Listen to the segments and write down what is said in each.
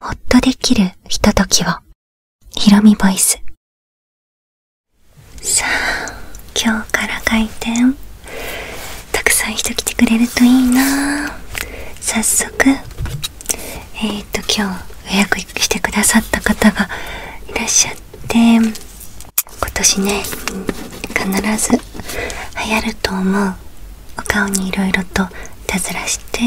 ほっとできるひとときを、ひろみボイス。さあ、今日から開店。たくさん人来てくれるといいな早速、えっ、ー、と今日予約してくださった方がいらっしゃって。で今年ね必ず流行ると思うお顔にいろいろといたずらして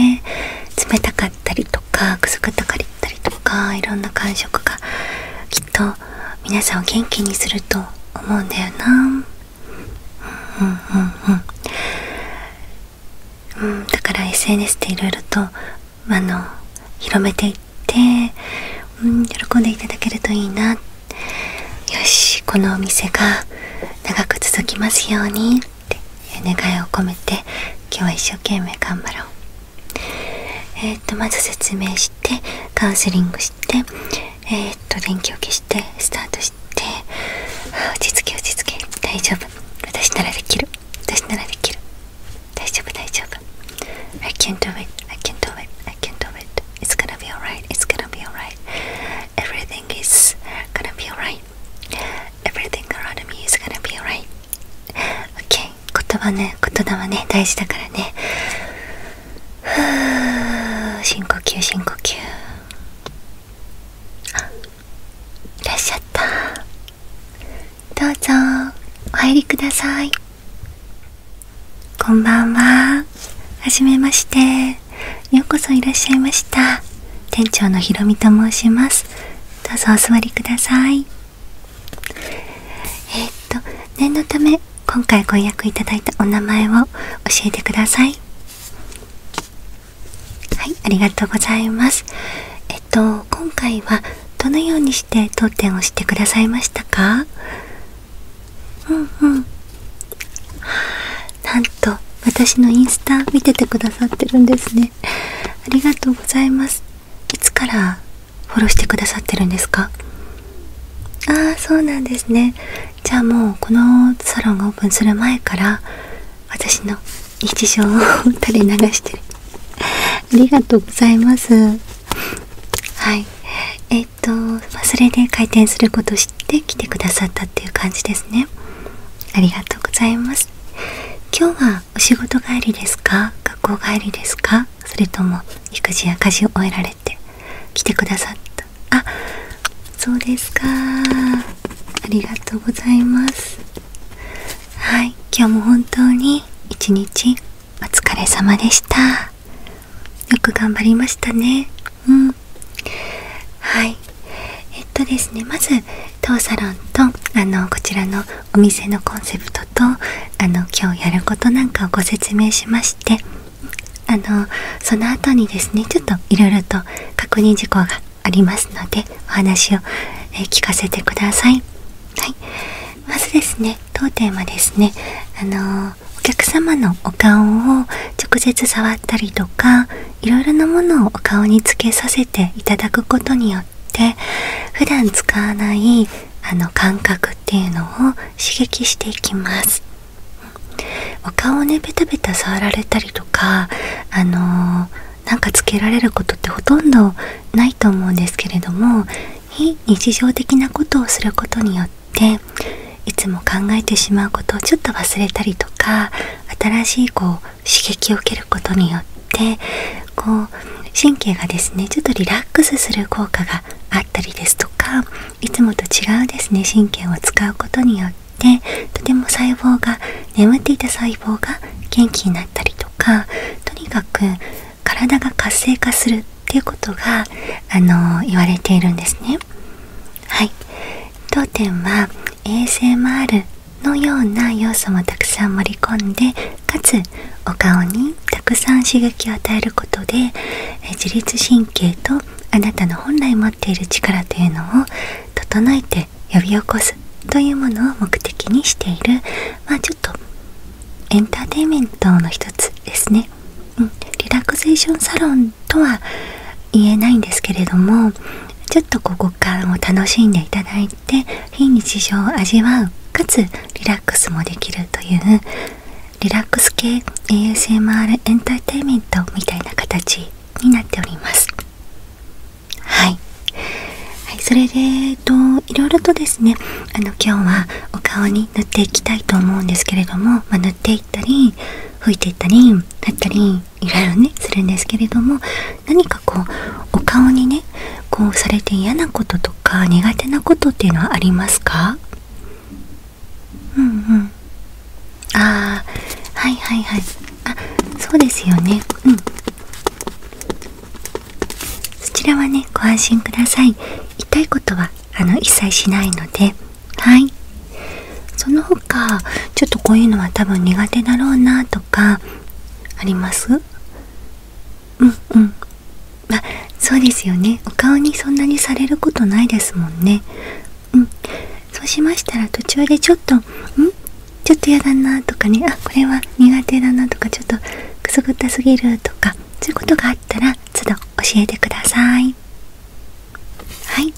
冷たかったりとかくすぐったかったりとかいろんな感触がきっと皆さんを元気にすると思うんだよなうんうんうんうんだから SNS でいろいろとあの広めていって、うん、喜んでいただけるといいなよしこのお店が長く続きますようにって願いを込めて今日は一生懸命頑張ろうえっ、とまず説明してカウンセリングしてえっ、と電気を消してスタートして落ち着け落ち着け大丈夫私ならできる私ならできる大丈夫大丈夫 I can do it I can do it I can do it It's gonna be alright It's gonna be alright Everything is gonna be alright Everything around me is gonna be alright OK 言葉ね言葉ね大事だからねふう深呼吸深呼吸あいらっしゃったどうぞお入りくださいこんばんははじめましてようこそいらっしゃいました店長のひろみと申しますどうぞお座りくださいえっと念のため今回ご予約いただいたお名前を教えてくださいはいありがとうございますえっと今回はどのようにして当店をしてくださいましたかなんと私のインスタ見ててくださってるんですねありがとうございますいつからフォローしてくださってるんですかああそうなんですねじゃあもうこのサロンがオープンする前から私の日常を 垂れ流してるありがとうございますはいえっと、それで開店すること知って来てくださったっていう感じですねありがとうございます今日はお仕事帰りですか学校帰りですかそれとも育児や家事を終えられて来てくださったあそうですかありがとうございますはい今日も本当に一日お疲れ様でしたよく頑張りましたねうんはいえっとですねまず当サロンとあのこちらのお店のコンセプトとあの今日やることなんかをご説明しましてあのその後にですねちょっといろいろと確認事項がありますのでお話をえ聞かせてくださいはい、まずですね当店はですねあのお客様のお顔を直接触ったりとかいろいろなものをお顔につけさせていただくことによって普段使わないあの感覚っていうのを刺激していきますお顔をねベタベタ触られたりとかあのなんかつけられることってほとんどないと思うんですけれども非日常的なことをすることによっていつも考えてしまうことをちょっと忘れたりとか新しいこう刺激を受けることによってこう神経がですねちょっとリラックスする効果があったりですとかいつもと違うですね神経を使うことによってとても細胞が眠っていた細胞が元気になったりとかとにかく体が活性化するっていうことがあの言われているんですね。はい、当店は ASMR のような要素もたくさん盛り込んでかつお顔にたくさん刺激を与えることで自律神経とあなたの本来持っている力というのを整えて呼び起こすというものを目的にしているまあちょっとエンターテイメントの一つですね、うん、リラクゼーションサロンとは言えないんですけれどもちょっとこう五感を楽しんでいただいて非日常を味わうかつリラックスもできるというリラックス系 ASMR エンターテインメントみたいな形になっておりますはい、はい、それでといろいろとですねあの今日はお顔に塗っていきたいと思うんですけれども、ま塗っていったり拭いていったり塗ったりいろいろねするんですけれども何かこうお顔にねこうされて嫌なこととか苦手なことっていうのはありますかうんうんああはいはいはいあそうですよねうんそちらはねご安心ください痛いことはあの一切しないのではいその他ちょっとこういうのは多分苦手だろうなとかありますうんうんまあそうですよねお顔にそんなにされることないですもんねうんそうしましたら途中でちょっと「んちょっと嫌だなとかねあこれは苦手だなとかちょっとくすぐったすぎるとかそういうことがあったら都度教えてくださいはい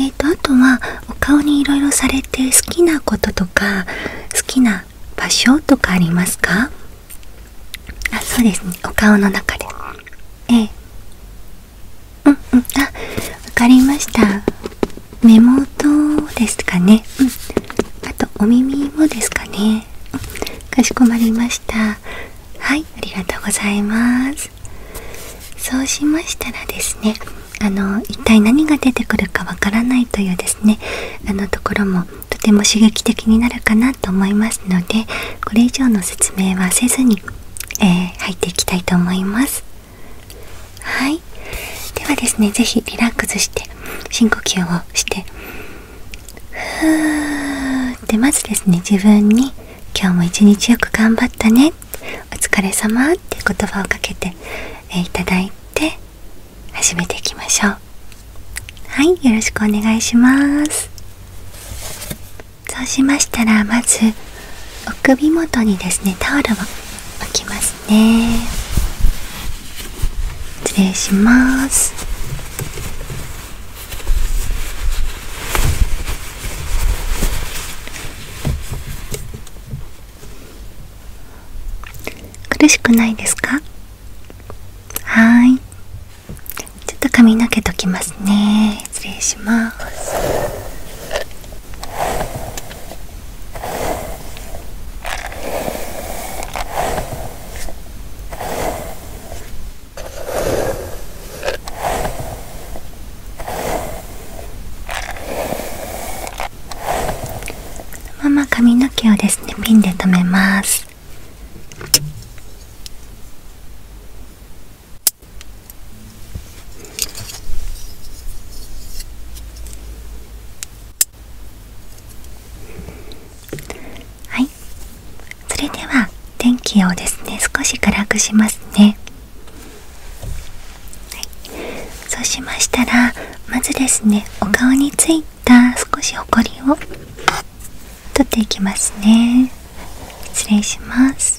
えーとあとはお顔にいろいろされて好きなこととか好きな場所とかありますかあそうですねお顔の中でええうんうんあわかりました目元ですかね、うん、あとお耳もですかね、かしこまりましたはいありがとうございますそうしましたらですねあの一体何が出てくるかわからないというですねあのところもとても刺激的になるかなと思いますのでこれ以上の説明はせずに、え入っていきたいと思いますはいではですね是非リラックスして深呼吸をしてふーてまずですね自分に「今日も一日よく頑張ったね」「お疲れ様って言葉をかけていただいて始めていきましょうはいよろしくお願いしますそうしましたらまずお首元にですねタオルを置きますね失礼します苦しくないですかはいちょっと髪の毛ときますね失礼しますのまま髪の毛をですねピンで留めますはいそれでは電気をですね少し暗くしますね、そうしましたらまずですねお顔についた少しほこりを取っていきますね失礼します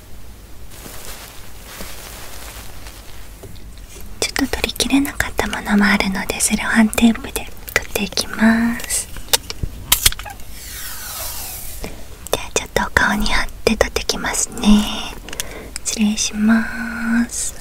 ちょっと取りきれなかったものもあるのでそれをハンテープでくっていきますじゃあちょっとお顔に貼って取ってきますね失礼します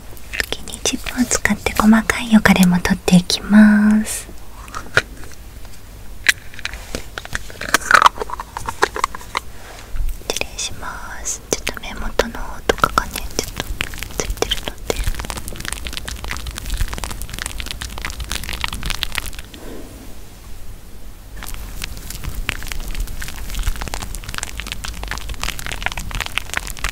次にチップを使って細かいよかれも取っていきますちょっと目元の方とかがねちょっとついてるので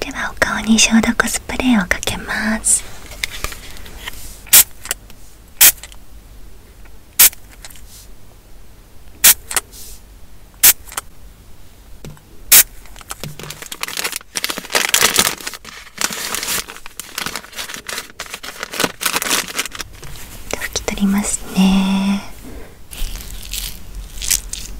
ではお顔に消毒スプレーをかけます拭き取りますね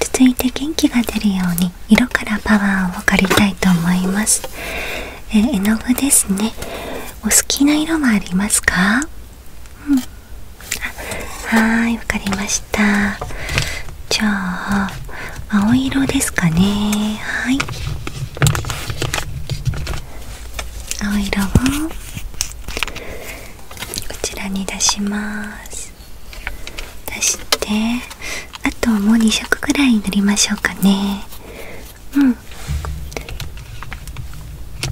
続いて元気が出るように色からパワーを借りたいと思います、え絵の具ですねお好きな色はありますか、はいわかりましたじゃあ青色ですかねはい青色をこちらに出します出してあともう2色ぐらい塗りましょうかね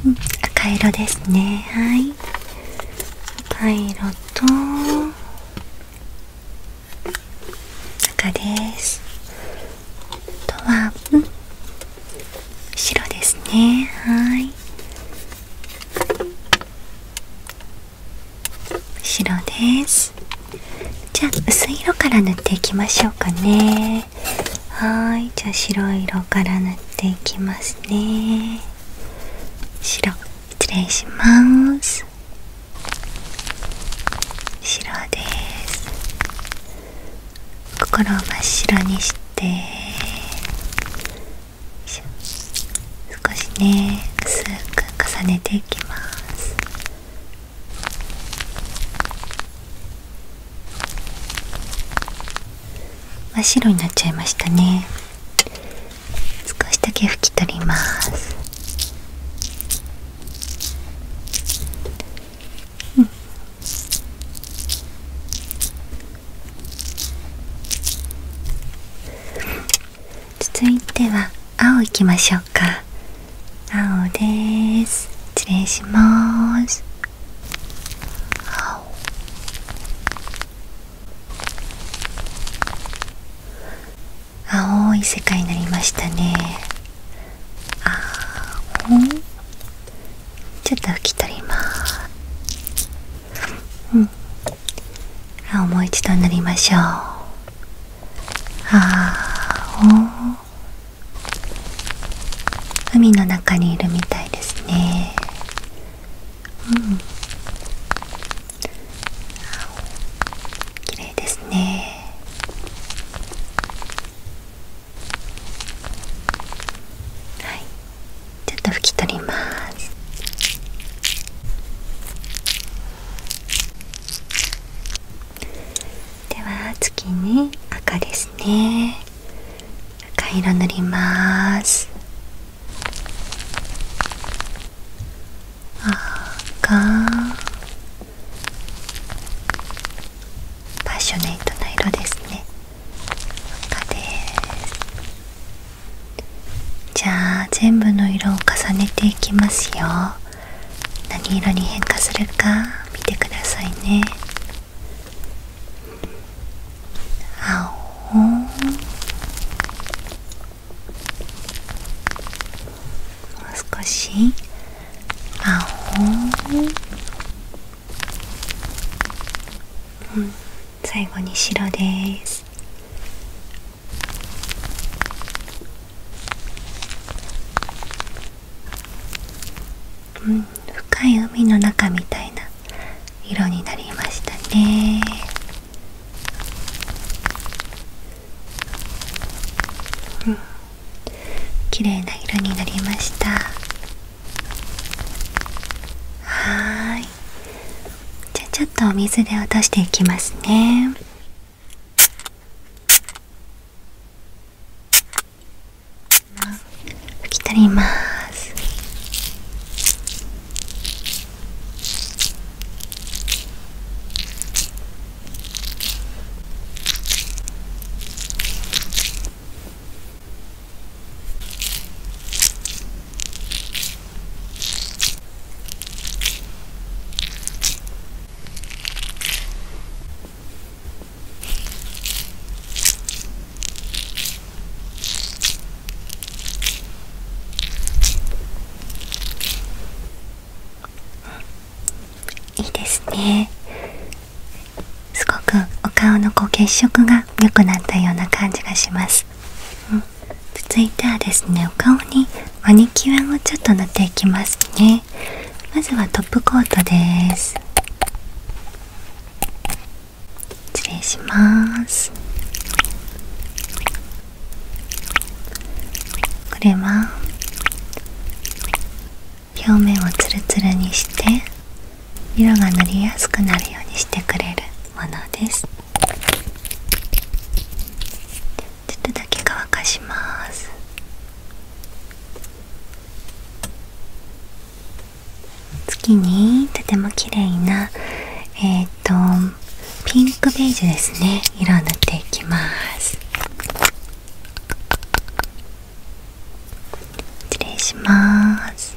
うん、赤色ですねはい赤色と赤ですあとは、うん、白ですねはい白ですじゃ薄い色から塗っていきましょうかねはいじゃあ白い色から塗っていきますね白失礼します白です心を真っ白にして少しね薄く重ねていきます真っ白になっちゃいましたね少しだけ拭き取りますうん続いては青いきましょうか青です失礼します青い世界になりましたねちょっと拭き取りますうんあもう一度塗りましょうあお海の中にいるみたいですねうん綺麗ですねはいちょっと拭き取りますでは次に赤ですね赤色塗りますパッショネイトな色ですね赤ですじゃあ全部の色を重ねていきますよ何色に変化するか見てくださいね青もう少し青うん最後に白です深い海の中みたいな色になりましたね綺麗な色になりましたはいじゃあちょっと水で落としていきますね拭き取りますいいですねすごくお顔のこう血色が良くなったような感じがします続いてはですねお顔にマニキュアをちょっと塗っていきますねまずはトップコートです失礼しますこれは表面をツルツルにして色が塗りやすくなるようにしてくれるものですちょっとだけ乾かします次にとても綺麗なえっ、とピンクベージュですね色を塗っていきます失礼します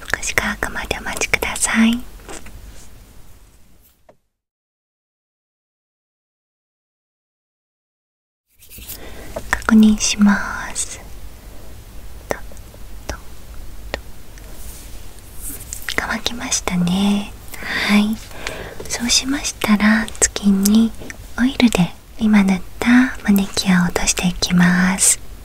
福祉科くまでお待ちください確認します乾きましたねはいそうしましたら次にオイルで今塗ったマネキュアを落としていきます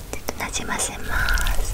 ちょっとなじませます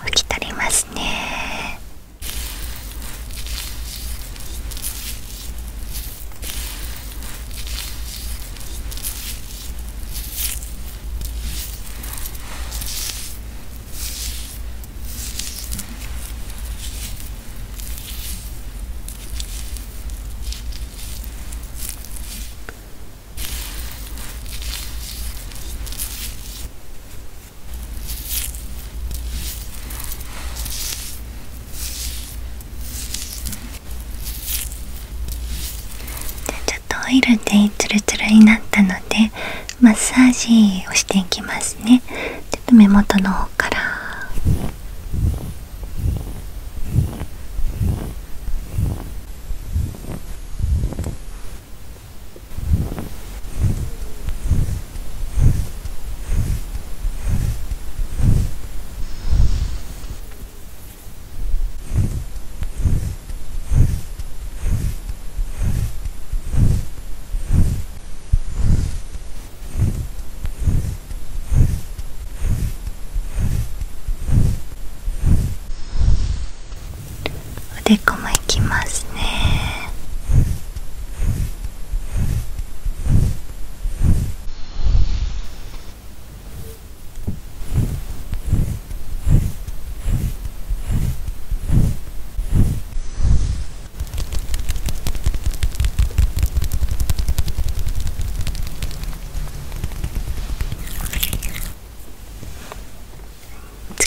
拭き取りますねちょっとオイルでツルツルになったのでマッサージをしていきますねちょ目元の方からおでこもいきますね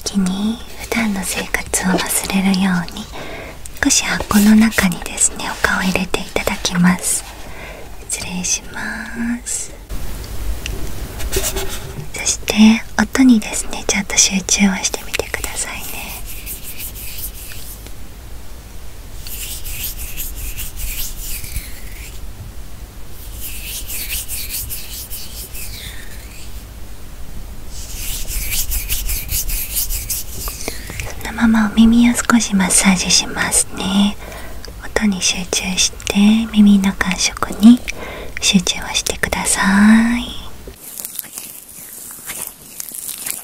次に普段の生活を忘れるように少し箱の中にですねお顔を入れていただきます失礼しますそして音にですねちょっと集中をしてみてくださいねそのままお耳を少しマッサージしますね音に集中して耳の感触に集中をしてください。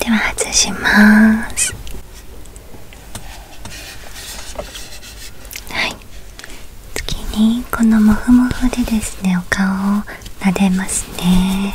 では外しますはい次にこのもふもふでですねお顔を撫でますね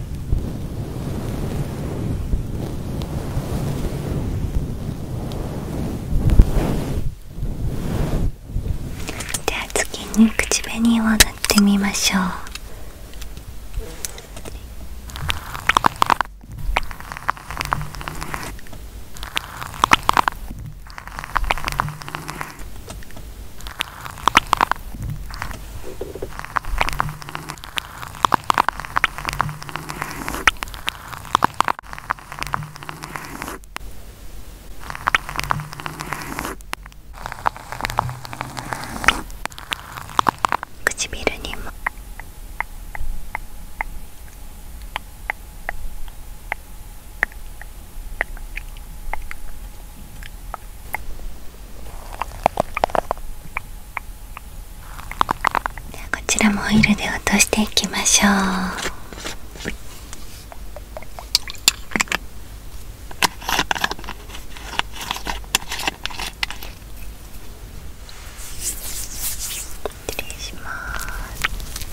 では次に口紅を塗ってみましょう唇にもこちらもオイルで落としていきましょう失礼します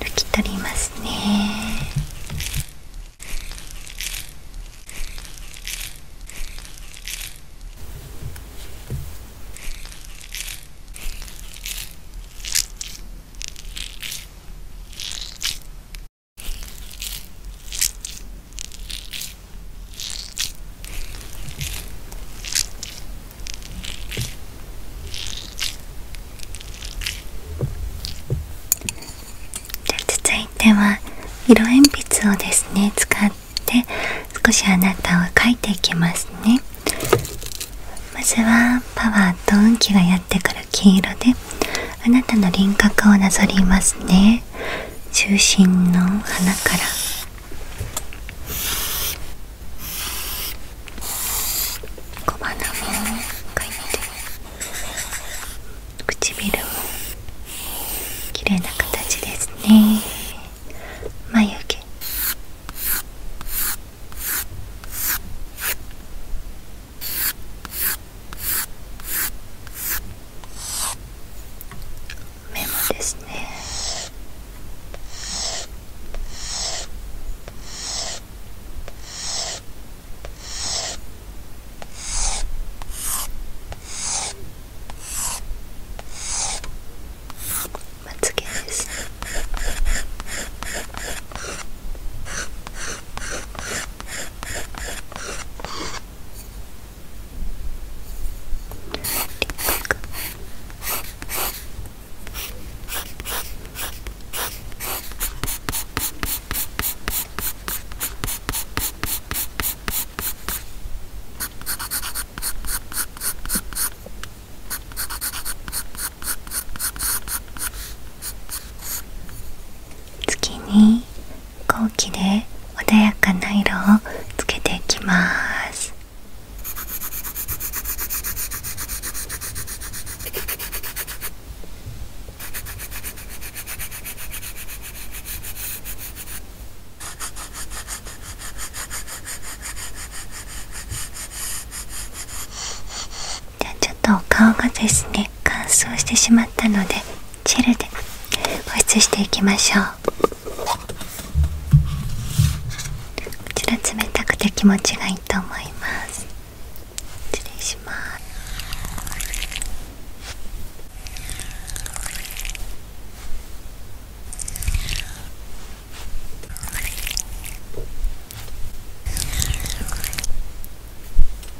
拭き取りますねで続いては色鉛筆をですね使って少しあなたを描いていきますねまずはパワーと運気がやってくる黄色であなたの輪郭をなぞりますね中心の花から小鼻も描いて唇も綺麗な形ですね眉毛メモですねまつげです次に後期で穏やかな色をつけていきますじゃあちょっとお顔がですね乾燥してしまったのでチェルで保湿していきましょうこちら冷たくて気持ちがいいと思います失礼します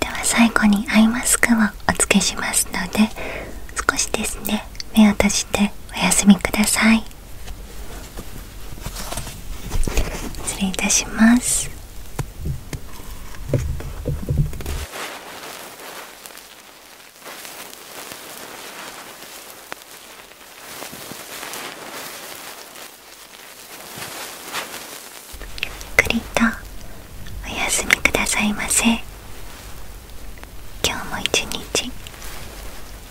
では最後にアイマスクをお付けしますので少しですね目を閉じてお休みください失礼いたしますゆっくりとお休みくださいませ今日も一日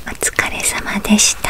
お疲れ様でした